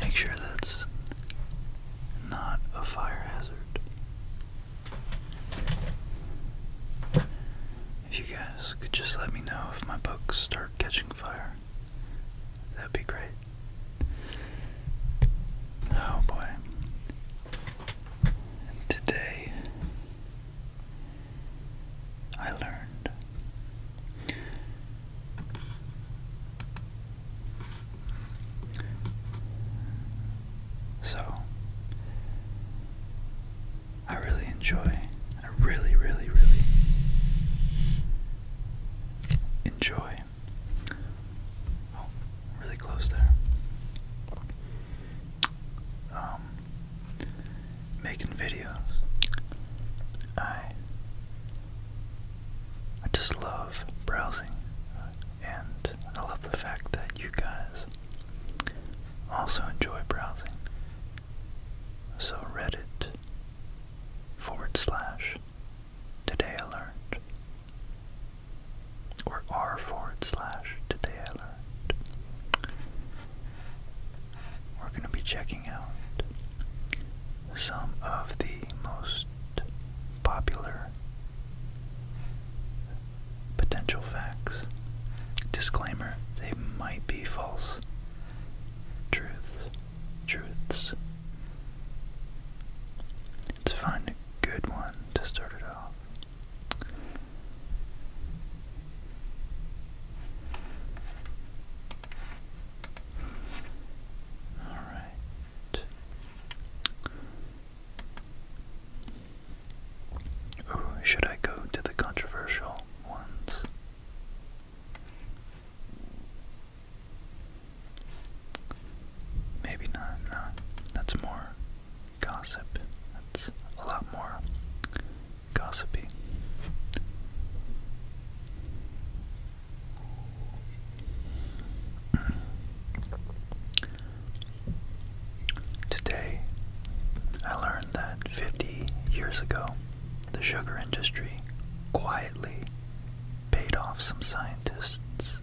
Make sure that's not a fire hazard. If you guys could just let me know if my books start catching fire, that'd be great. Oh boy. today I learned. So, I really enjoy, I really, really, really enjoy. Oh, really close there. Um, making videos. I I just love browsing and I love the fact that you guys also enjoy browsing. So Reddit forward slash today alert, or r forward slash today alert we're going to be checking out some of the most popular potential facts. Disclaimer they might be false. Truths. Truths. Let's find a good one to start it off. All right. should I go to the controversial ones? Maybe not, That's more gossip. That's a lot more gossipy. Today, I learned that 50 years ago, the sugar industry quietly paid off some scientists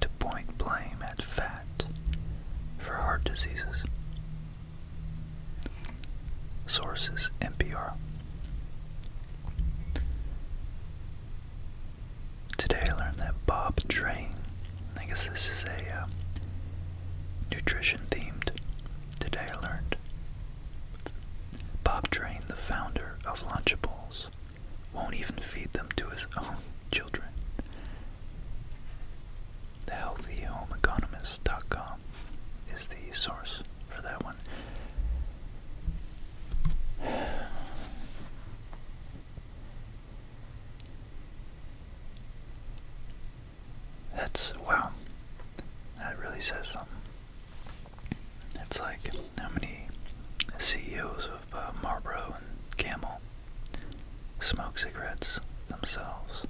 to point blame at fat for heart diseases. Sources NPR. Today I learned that Bob Drain, I guess this is a uh, nutrition themed. Today I learned Bob Drain, the founder of Lunchables, won't even feed them to his own children thehealthyhomeeconomist.com is the source for that one. That's wow. That really says something. It's like how many CEOs of uh, Marlboro and Camel smoke cigarettes themselves,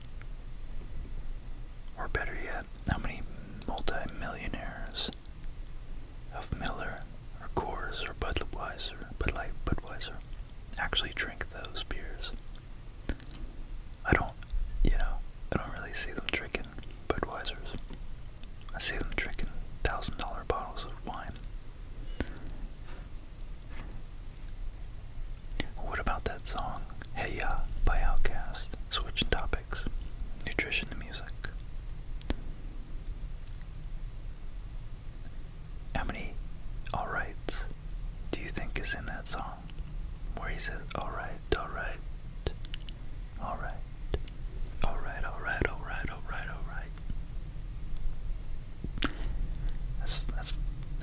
or better yet how many multi-millionaires of Miller or Coors or Budweiser, Bud Light, Budweiser, actually drink those beers. I don't, you know, I don't really see them drinking Budweisers. I see them drinking thousand dollar bottles of wine. What about that song, Hey Ya, by Outkast? Switching topics. Nutrition to music. How many alrights do you think is in that song? Where he says, alright, alright, alright, alright, alright, alright, alright, alright. That's, that's,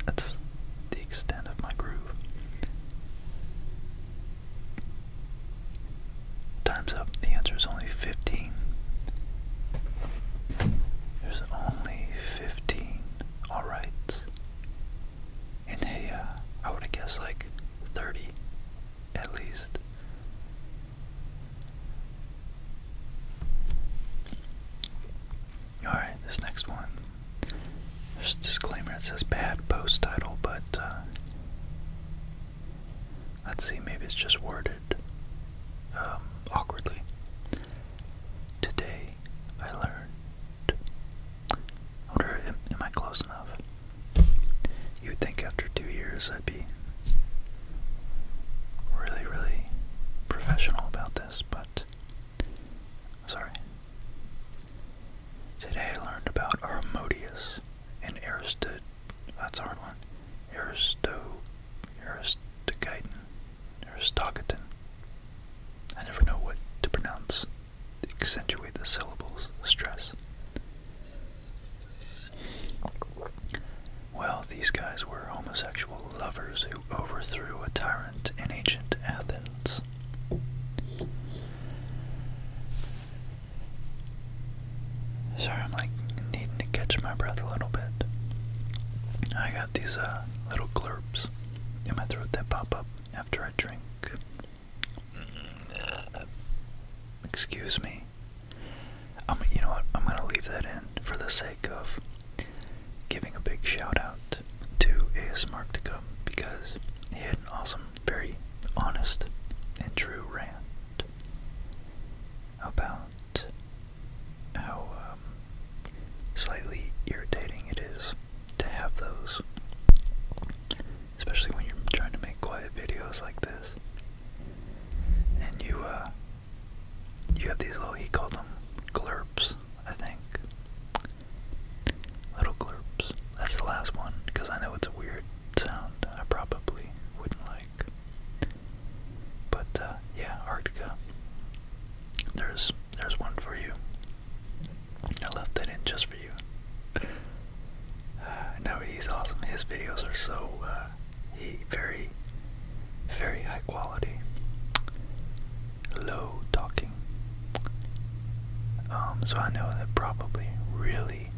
that's the extent of my groove. Time's up. The answer is only 15. There's only 15 alright. In hey, uh, I would have guessed like 30 at least. Alright, this next one. There's a disclaimer that says bad post title, but uh, let's see, maybe it's just worded um, awkwardly. Today I learned. wonder, am I close enough? You would think after two years I'd be really, really professional about this, but Sorry. Today I learned about Armodius and Aristot. That's a hard one. Aristo, Aristogiton, Aristogiton. I never know what to pronounce. Accentuate the syllables. Stress. Well, these guys were homosexual lovers who overthrew a tyrant in ancient Athens. Sorry, I'm like needing to catch my breath a little bit. I got these uh, little glurps in my throat that pop up after I drink. Mm. Excuse me. i you know what? I'm gonna leave that in for the sake of giving a big shout out first to ASMarktica because he had an awesome, very honest, and true rant about how um, slightly irritating it is to have those, especially when you're trying to make quiet videos like this, and you uh, you have these little he called them glurps I think. Little glurps. That's the last one, because I know it's a weird sound I probably wouldn't like. But uh, yeah, Arctica. There's there's one for you. I left that in just for you. no, he's awesome. His videos are so uh, he very, very high quality low talking. Um, so I know that probably really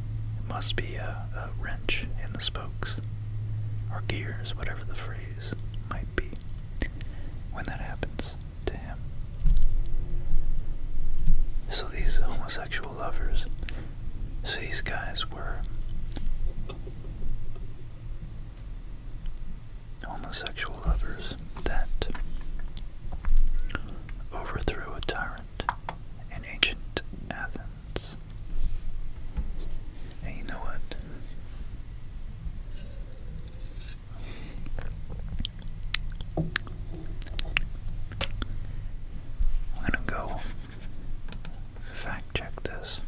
must be a, a wrench in the spokes or gears, whatever the phrase might be, when that happens to him. So these homosexual lovers, so these guys were homosexual lovers that overthrew a tyrant in ancient Athens. And you know what? I'm gonna go fact check this.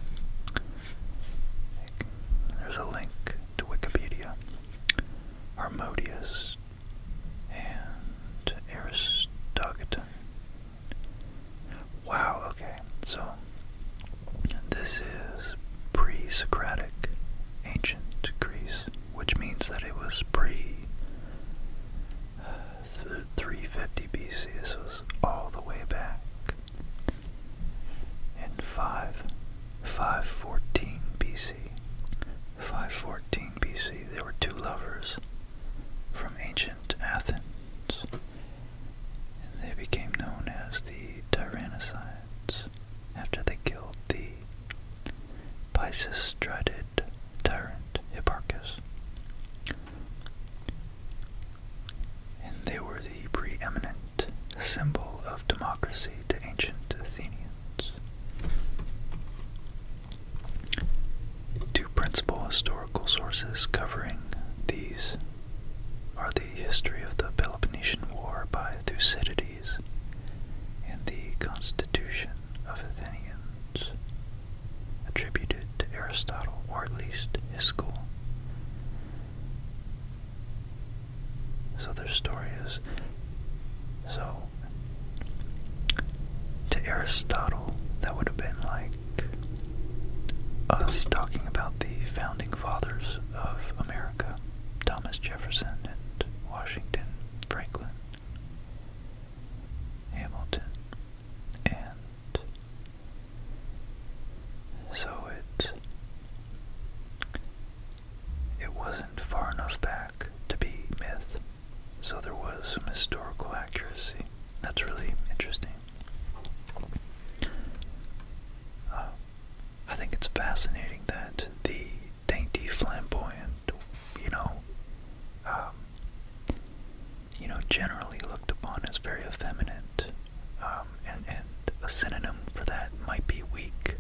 There's a link to Wikipedia Harmodius, and Aristogiton. Wow, okay, so this is pre Socratic ancient Greece, which means that it was pre 350 BC. This was all the way back in 5. 514 BC. 514 BC, there were two lovers from ancient Athens, and they became known as the Tyrannicides after they killed the Pisistratid tyrant Hipparchus. And they were the preeminent symbol of democracy to ancient Athenians. Two principal historical sources covering these are the history of the Peloponnesian War by Thucydides and the Constitution of Athenians, attributed to Aristotle, or at least his school. So their story is so to Aristotle that would have been like us talking about the founding fathers of America, Thomas Jefferson and Washington Franklin, Hamilton, and so it it wasn't far enough back to be myth, so there was some historical accuracy. That's really interesting. Uh, I think it's fascinating that the dainty flamboyant, you know, um, you know, generally looked upon as very effeminate, um, and a synonym for that might be weak,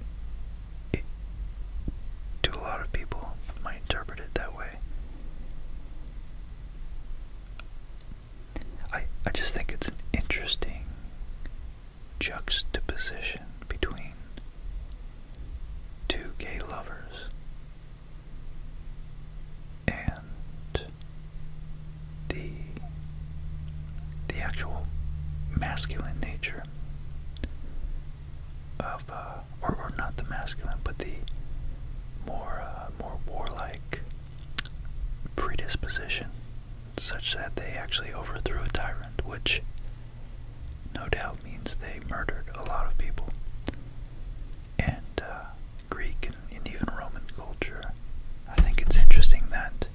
to a lot of people, might interpret it that way. I, I just think it's an interesting juxtaposition between two gay lovers and the the actual masculine nature of, uh, or, or not the masculine, but the more, uh, more warlike predisposition, such that they actually overthrew a tyrant, which no doubt means they murdered a lot of people. And uh, Greek and even Roman culture, I think it's interesting that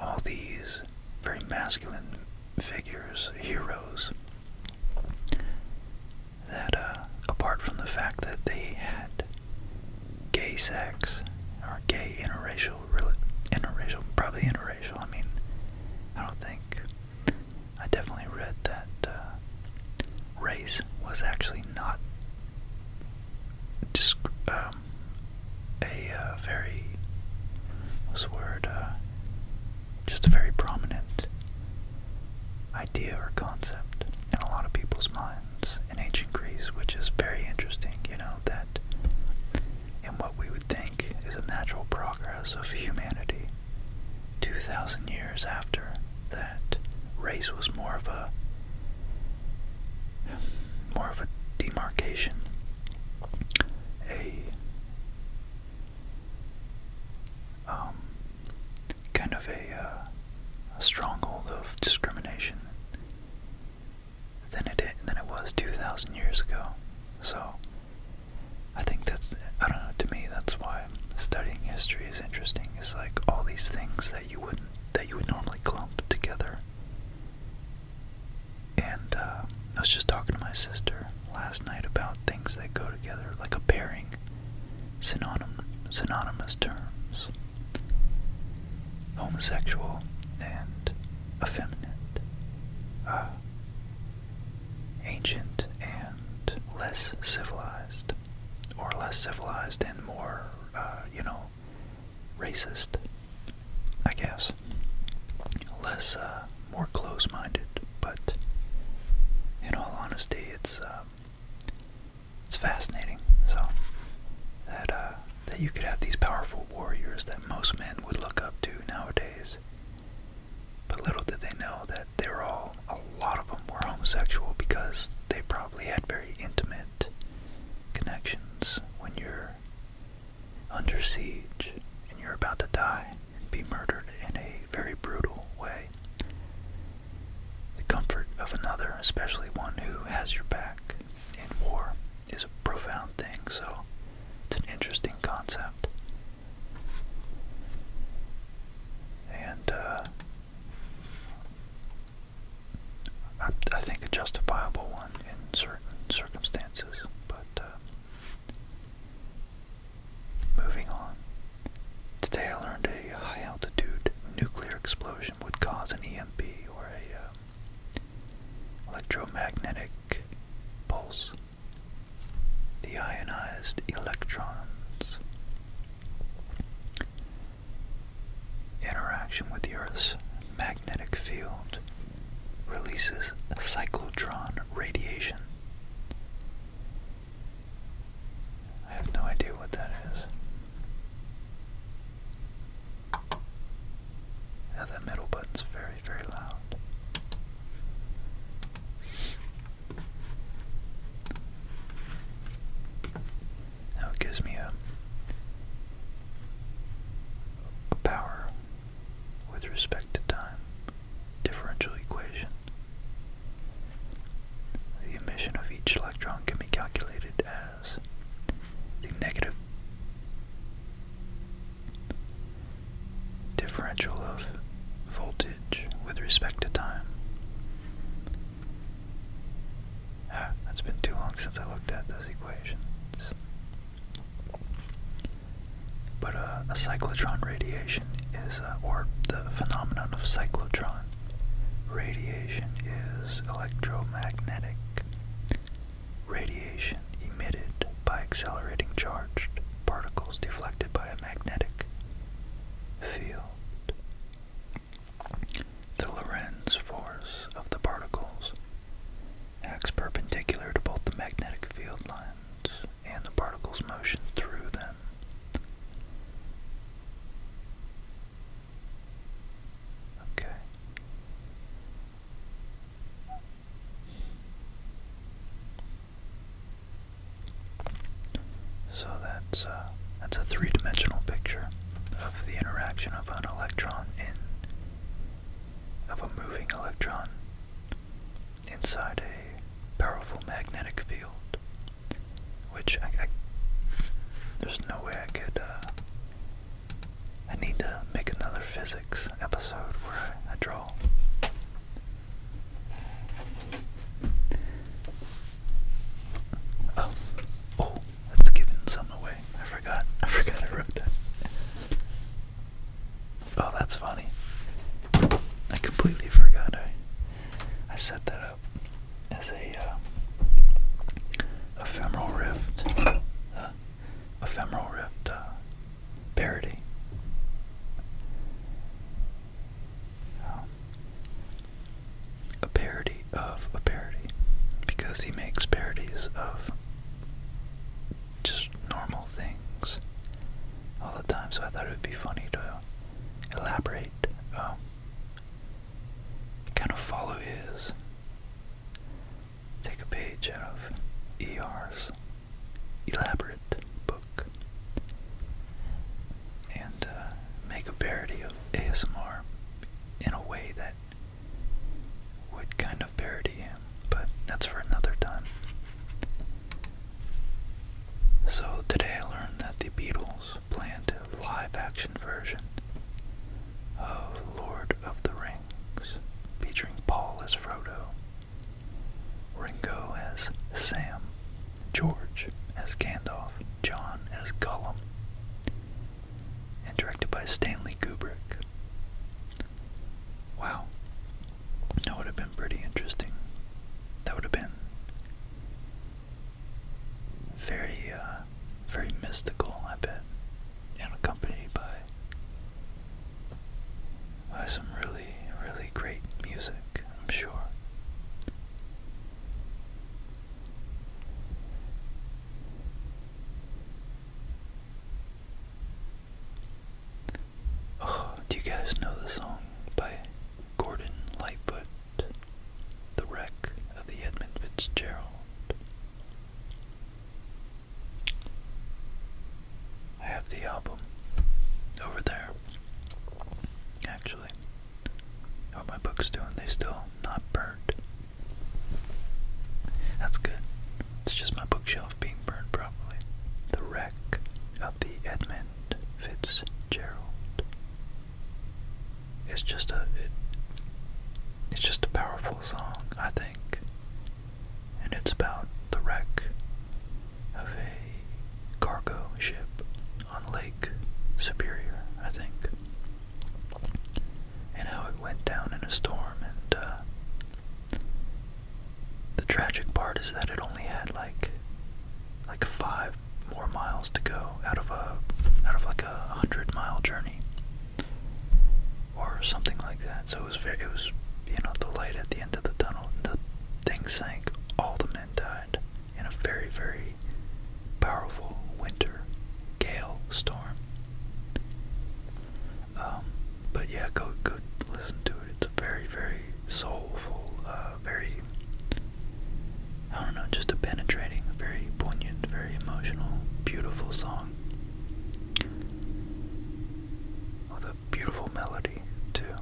all these very masculine figures, heroes, that uh, apart from the fact that they had gay sex or gay interracial, interracial, probably interracial. I mean, I don't think I definitely read that uh, race was actually not. Disc um, um, a uh, very, what's the word, uh, just a very prominent idea or concept in a lot of people's minds in ancient Greece, which is very interesting, you know, that in what we would think is a natural progress of humanity, 2,000 years after that race was more of a more of a demarcation a um, kind of uh, a, stronghold of discrimination than it than it was two thousand years ago. So I think that's I don't know. To me, that's why studying history is interesting. It's like all these things that you wouldn't that you would normally clump together and uh, I was just talking to my sister last night about things that go together, like a pairing, synonym, synonymous terms, homosexual and effeminate, uh, ancient and less civilized, or less civilized and more, uh, you know, racist, I guess less, uh, more close-minded. But in all honesty, it's uh, it's fascinating. So that uh, that you could have these powerful warriors that most men would look up to nowadays. But little did they know that they are all, a lot of them were homosexual because they probably had very intimate connections when you're under siege and you're about to die and be murdered in a very brutal way. The comfort of another, especially one who has your back in war, is a profound thing, so it's an interesting concept. And, uh, I, think a justifiable one in certain circumstances, but uh, Moving on. Today I learned a high altitude nuclear explosion would cause an EMP or a um, electromagnetic pulse. The ionized electrons. Interaction with the Earth's magnetic field releases cyclotron radiation. I have no idea what that is. Now that middle button's very, very loud. Now it gives me a power with respect to time differential equation. The emission of each electron can be calculated as the negative differential of voltage with respect to time. Ah, that's been too long since I looked at those equations. But uh, a cyclotron radiation is, uh, or the phenomenon of cyclotron radiation is electromagnetic radiation emitted by accelerating charged particles deflected by a magnetic field. The Lorentz force of the particles acts perpendicular to both the magnetic field lines and the particle's motion through them. Okay. So that's uh, that's a three-dimensional picture of the interaction of an electron in of a moving electron inside a powerful magnetic field, which I, there's no way I could. Uh, I need to make another physics episode where I, I draw. Oh, oh, that's giving some away. I forgot. I forgot I wrote that. Oh, that's funny. I completely forgot I I set that up as a uh, ephemeral rift, uh, ephemeral rift uh, parody. Um, a parody of a parody, because he makes parodies of just normal things all the time. So I thought it would be funny to elaborate, um, kind of follow his, take a page out of E.R.'s elaborate book, and uh, make a parody of ASMR in a way that would kind of parody him but that's for another time. So today I learned that the Beatles planned a live action version of Lord of the Rings, featuring Paul as Frodo, Ringo as Sam, George as Gandalf, John as Gollum, and directed by Stanley Kubrick. Wow. That would have been pretty interesting. That would have been very, uh, very mystical, I bet, and accompanied by some really, really great music, I'm sure do you guys know the song by Gordon Lightfoot, The Wreck of the Edmund Fitzgerald? I have the album over there, actually. How are my books doing? They still not burnt. That's good. It's just my bookshelf being burned properly. The wreck of the Edmund Fitzgerald. It's just a it's just a powerful song, I think. And it's about the wreck of a cargo ship on Lake Superior, I think. And how it went down in a storm and uh, the tragic part is that it only had like like five more miles to go out of a out of like a hundred mile journey or something like that. So it was very it was you know the light at the end of the tunnel the thing sank. All the men died in a very very powerful winter gale storm. Um, but yeah, go go listen to it. It's a very very soulful, uh, very I don't know, just a penetrating, very poignant, very emotional, beautiful song with a beautiful melody too.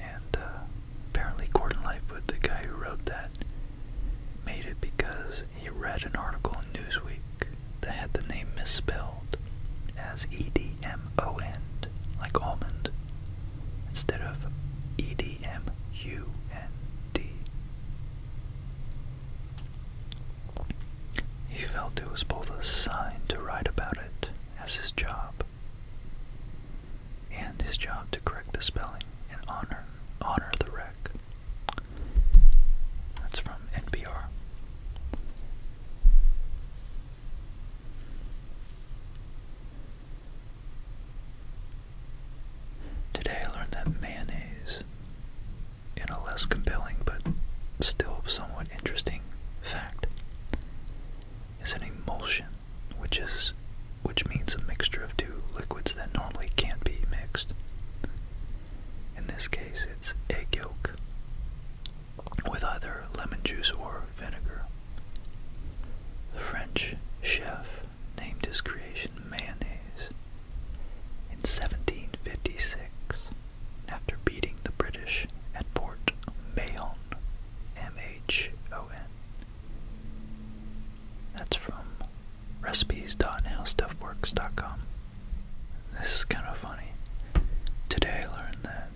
And uh, apparently, Gordon Lightfoot, the guy who wrote that, made it because he read an article in Newsweek they had the name misspelled as E-D-M-O-N, like almond, instead of E-D-M-U-N-D. He felt it was both a sign to write about it as his job and his job to correct the spelling in honor honor the wreck. That's from NPR. Today I learned that mayonnaise, in a less compelling but still somewhat interesting fact, is an emulsion, which is which means a mixture of two liquids that normally can't be mixed. In this case, it's egg yolk with either lemon juice or vinegar. The French chef named his creation mayonnaise in 1756 after beating the British at Port Mayon, M-H-O-N. That's from recipes.howstuffworks.com. This is kind of funny. Today I learned that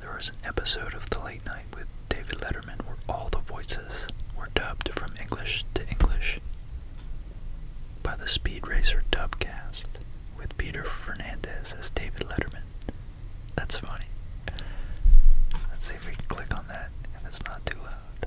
there was an episode of The Late Night with David Letterman where all the voices were dubbed from English to English by the Speed Racer dubcast with Peter Fernandez as David Letterman. That's funny. Let's see if we can click on that if it's not too loud.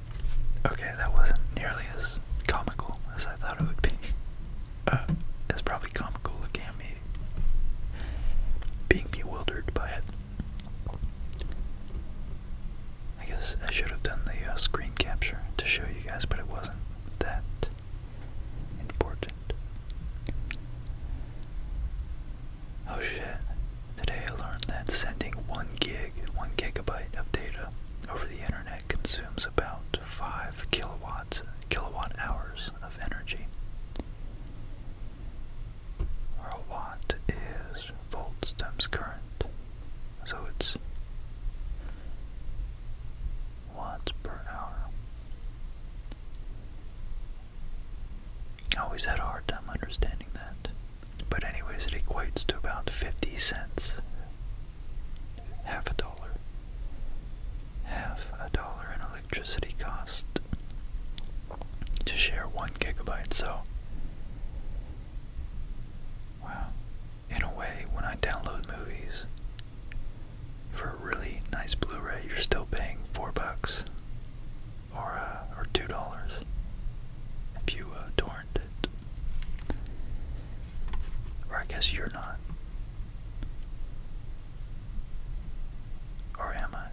Okay, that wasn't nearly as comical as I thought it would be. Uh, it's probably comical looking at me being bewildered by it. I guess I should have done the uh, screen capture to show you guys, but it wasn't that important. Oh shit. Today I learned that sending 1 gig, 1 gigabyte of data over the internet consumes about 5 kilowatts, kilowatt hours of energy. Where a watt is volts times current. So it's watts per hour. always had a hard time understanding that. But, anyways, it equates to about 50 cents. Half a dollar. Half a dollar in electricity cost to share one gigabyte. So, wow. In a way, when I download movies for a really nice Blu ray, you're still paying four bucks or, uh, or two dollars if you torrent uh, or I guess you're not. Or am I?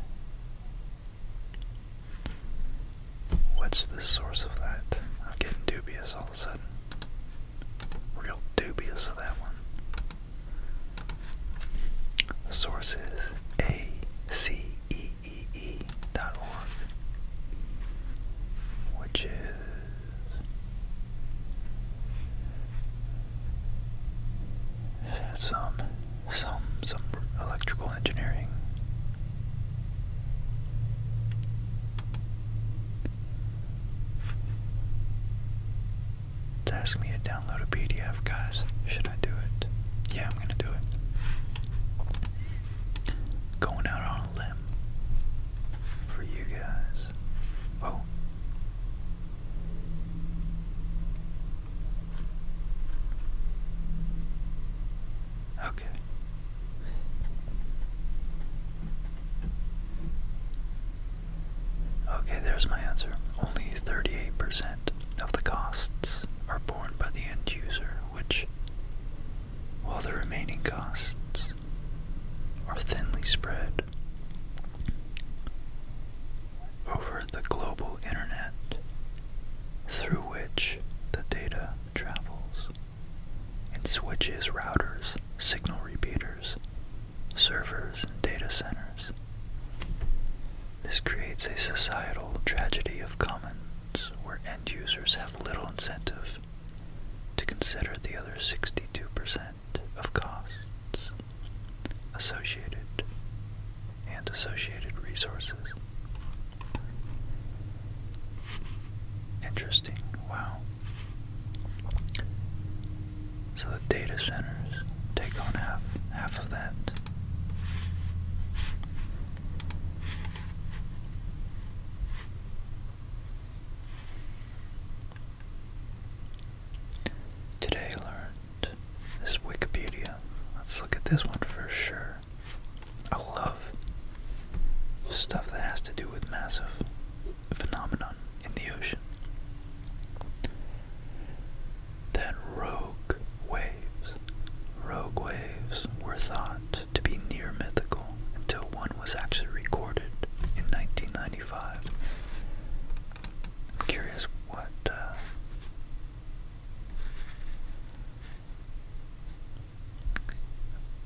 What's the source of that? I'm getting dubious all of a sudden. Real dubious of that one. source is A C E org, which is some some some electrical engineering to ask me to download a PDF guys should I do it yeah I'm gonna do it going out on a limb for you guys. Whoa. Okay. Okay, there's my answer. Only 38% of the costs are borne by the end user, which while the remaining costs are thinly spread over the global internet through which the data travels and switches, routers, signal repeaters, servers, and data centers. This creates a societal tragedy of commons where users have little incentive to consider the other 62% of costs associated and associated resources. Interesting, wow. So the data centers take on half half of that. Today learned this Wikipedia. Let's look at this one for sure. I love stuff that has to do with massive phenomenon in the ocean. That rogue waves, rogue waves were thought to be near mythical until one was actually recorded in 1995. I'm curious what. Uh,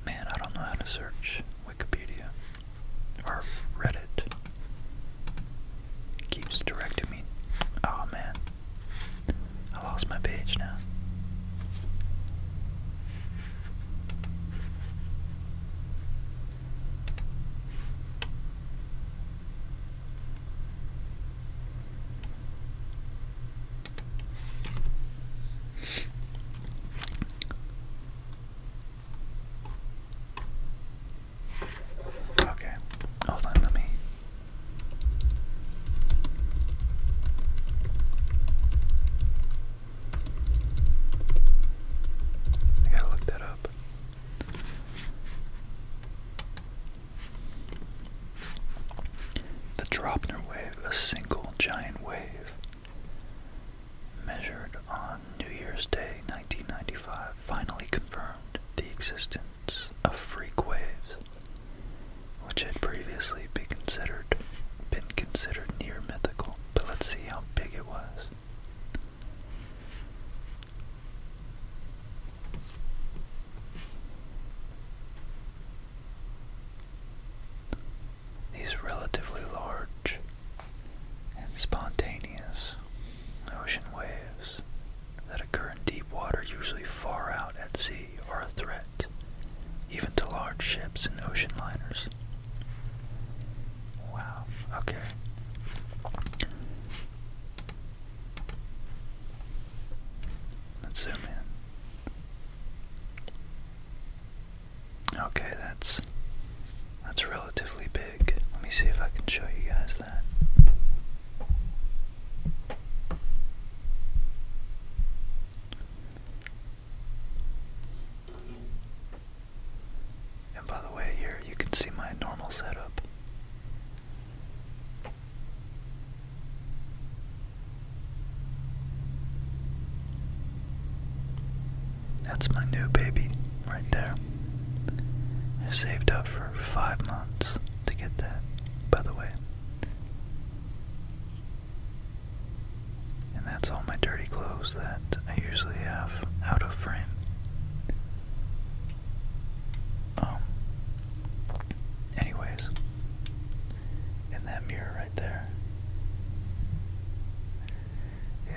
man, I don't know how to search Wikipedia or Reddit. keeps directing me. Oh man, I lost my page now. Okay, hold on, let me I gotta look that up. The Dropner wave, a single giant wave, measured on New Year's Day 1995, finally confirmed the existence of freak waves which had previously been considered near mythical, but let's see how big it was. These relatively large and spontaneous ocean waves that occur in deep water, usually far out at sea, are a threat even to large ships and ocean liners. Wow, okay. Let's zoom in. Okay, that's that's relatively big. Let me see if I can show you guys that. And by the way, here you can see my normal setup. That's my new baby right there. I saved up for five months to get that, by the way. And that's all my dirty clothes that I usually have out of frame. Um, anyways, and that mirror right there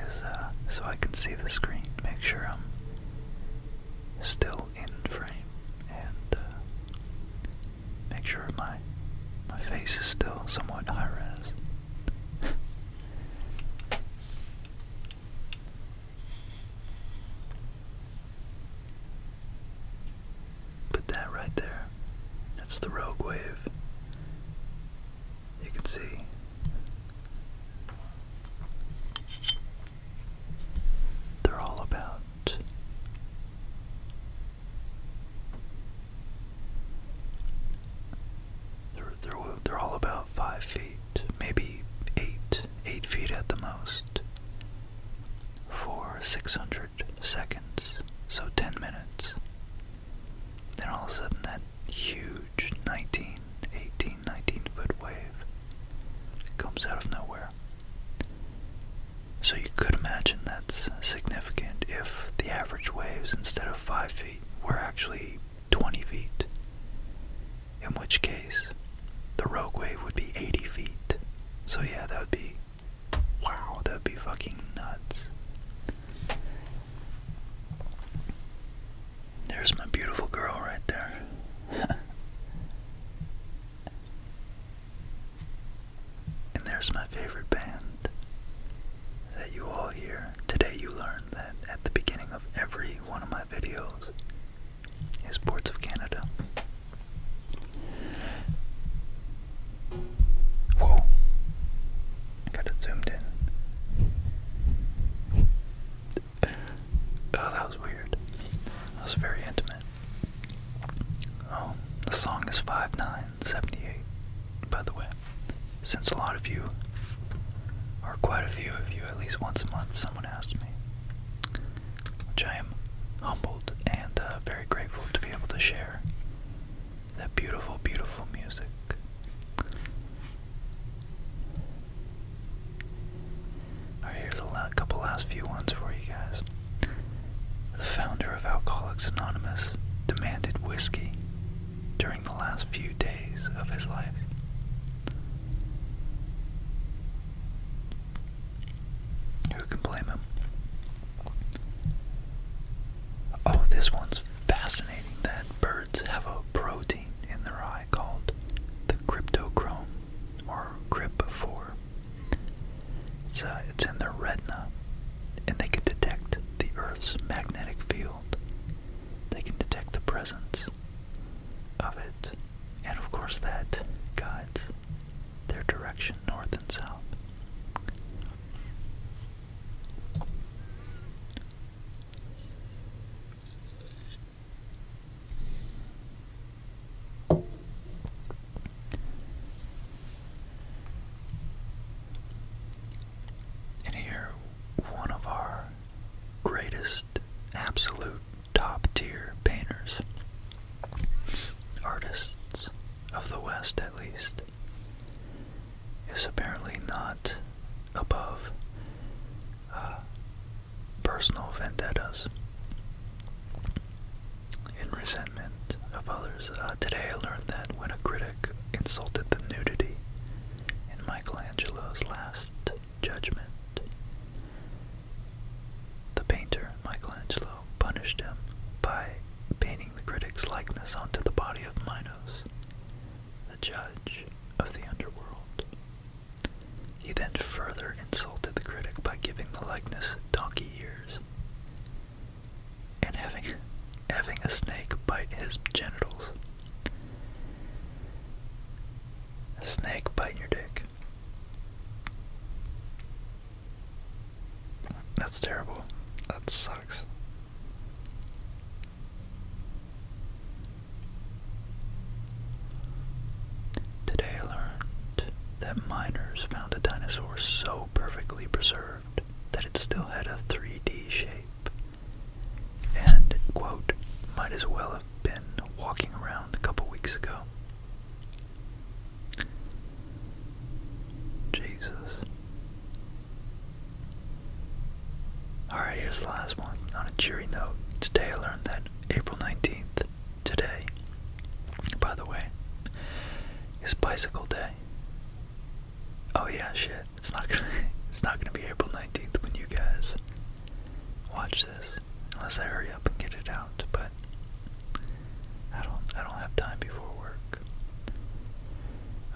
is uh, so I can see the screen, make sure I'm still in frame, and uh, make sure my my face is still somewhat high res. but that right there, that's the rogue wave. You can see. They're all about they're, they're, they're all about five feet, maybe eight, eight feet at the most, for 600 seconds, so 10 minutes. Then all of a sudden, that huge 19, 18, 19 foot wave comes out of nowhere. So you could imagine that's significant if the average waves, instead of 5 feet, were actually 20 feet. In which case, the rogue wave would be 80 feet. So yeah, that would be. Wow, that would be fucking nuts. There's my beautiful girl right there. And there's my favorite band that you all hear. Today you learned that at the beginning of every one of my videos is Ports of Canada. Whoa. got it zoomed in. Oh, that was weird. That was very intimate. Oh, the song is 5-9. 1078, by the way. Since a lot of you, or quite a few of you, at least once a month, someone asked me, which I am humbled and uh, very grateful to be able to share that beautiful, beautiful music. I hear the couple last few ones for you guys. The founder of Alcoholics Anonymous demanded whiskey during the last few days of his life. Who can blame him? Oh, this one's fascinating that birds have a protein in their eye called the cryptochrome or cryp4 it's, uh, it's in their retina, and they can detect the Earth's magnetic field. They can detect the presence of it, and of course, that guides their direction north and south. And here, one of our greatest, absolute top tier painters, artists of the West at least, is apparently not above uh, personal vendettas in resentment of others. Uh, today I learned that when a critic insulted the nudity in Michelangelo's Last Judgment, the painter Michelangelo punished him by painting the critic's likeness onto the body of Minos, the judge of the underworld. He then further insulted the critic by giving the likeness donkey ears, and having having a snake bite his genitals. snake biting your dick. That's terrible. That sucks. Today I learned that miners found a dinosaur so perfectly preserved that it still had a 3D shape, and, quote, might as well have been walking around a couple weeks ago. Jesus. Alright, here's the last one. On a cheery note, today I learned that April 19th, today, by the way, is Bicycle Day. Oh yeah, shit. It's not gonna. It's not gonna be April nineteenth when you guys watch this, unless I hurry up and get it out. But I don't. I don't have time before work.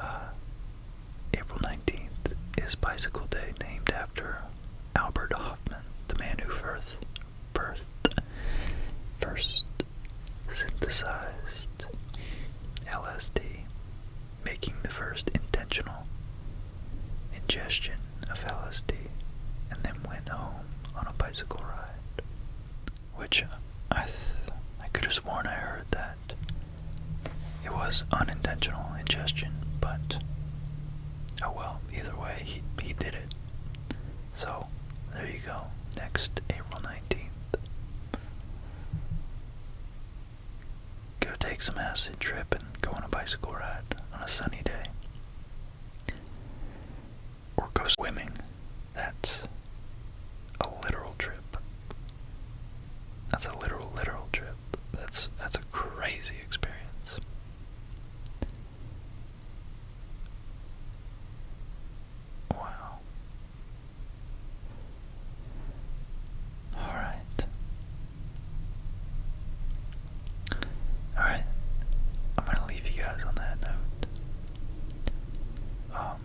Uh, April nineteenth is Bicycle Day, named after Albert Hoffman, the man who first, first, first synthesized LSD, making the first intentional ingestion of LSD, and then went home on a bicycle ride. Which uh, I, I could have sworn I heard that it was unintentional ingestion, but oh well. Either way, he he did it. So, there you go. Next, April 19th. Go take some acid trip and go on a bicycle ride on a sunny day. Or go swimming. That's a literal trip. That's a literal, literal trip. That's that's a crazy experience. Wow. Alright. Alright. I'm gonna leave you guys on that note. Um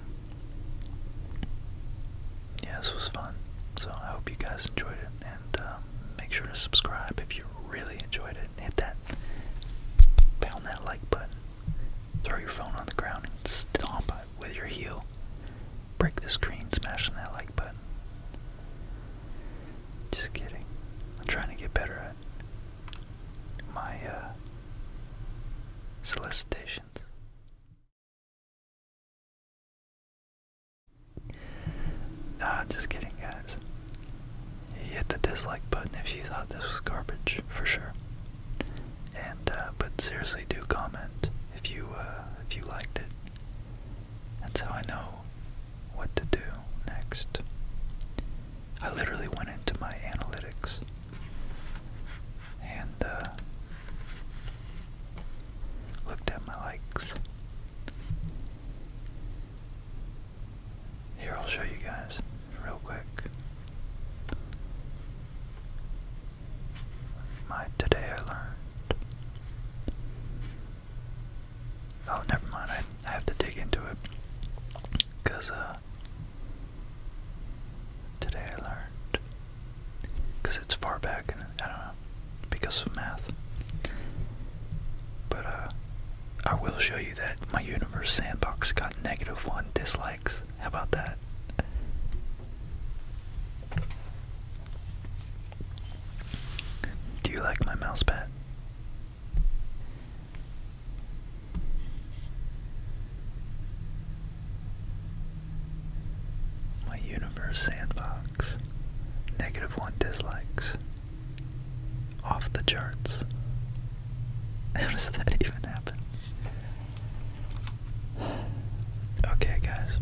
Yeah, this was fun. So I hope you guys enjoyed it and um, make sure to subscribe if you really enjoyed it. Hit that pound that like button Throw your phone on the ground and stomp it with your heel. Break the screen, smashing that like button. Just kidding. I'm trying to get better at my uh, solicitations. Nah, just kidding, guys. Hit the dislike button if you thought this was garbage, for sure. And uh, but seriously, do comment if you uh, if you liked it. That's how I know what to do next. I literally went into my analytics and uh, looked at my likes. Here, I'll show you guys real quick. My today I learned. Oh, never mind. I, I have to dig into it. Because, uh, today I learned. Because it's far back, and I don't know. Because of math. But, uh, I will show you that my universe sandbox got negative one dislike. How about that? Do you like my mouse My universe sandbox. Negative one dislikes. Off the charts. How does that even happen? Okay, guys.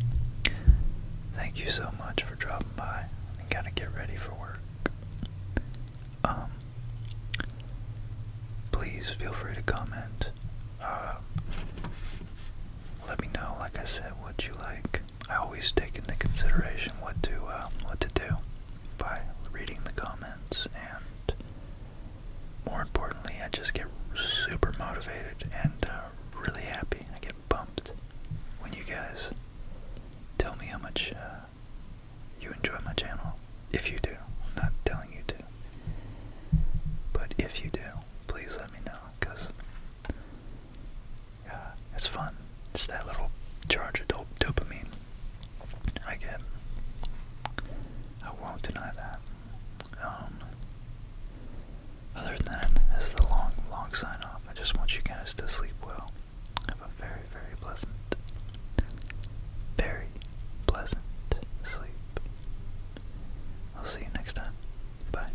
Thank you so much for dropping by. gotta get ready for work. Um, please feel free to comment. Uh, let me know, like I said, what you like. I always take into consideration what to um, what to do by reading the comments and more importantly, I just get super motivated and uh, really happy. I get pumped when you guys tell me how much uh, you enjoy my channel. If you do, I'm not telling you to, but if you do, please let me know because uh, it's fun. Just that little charge of dopamine I get. I won't deny that. Um, other than that, this is the long, long sign off. I just want you guys to sleep well. Have a very, very pleasant, very pleasant sleep. I'll see you next time. Bye.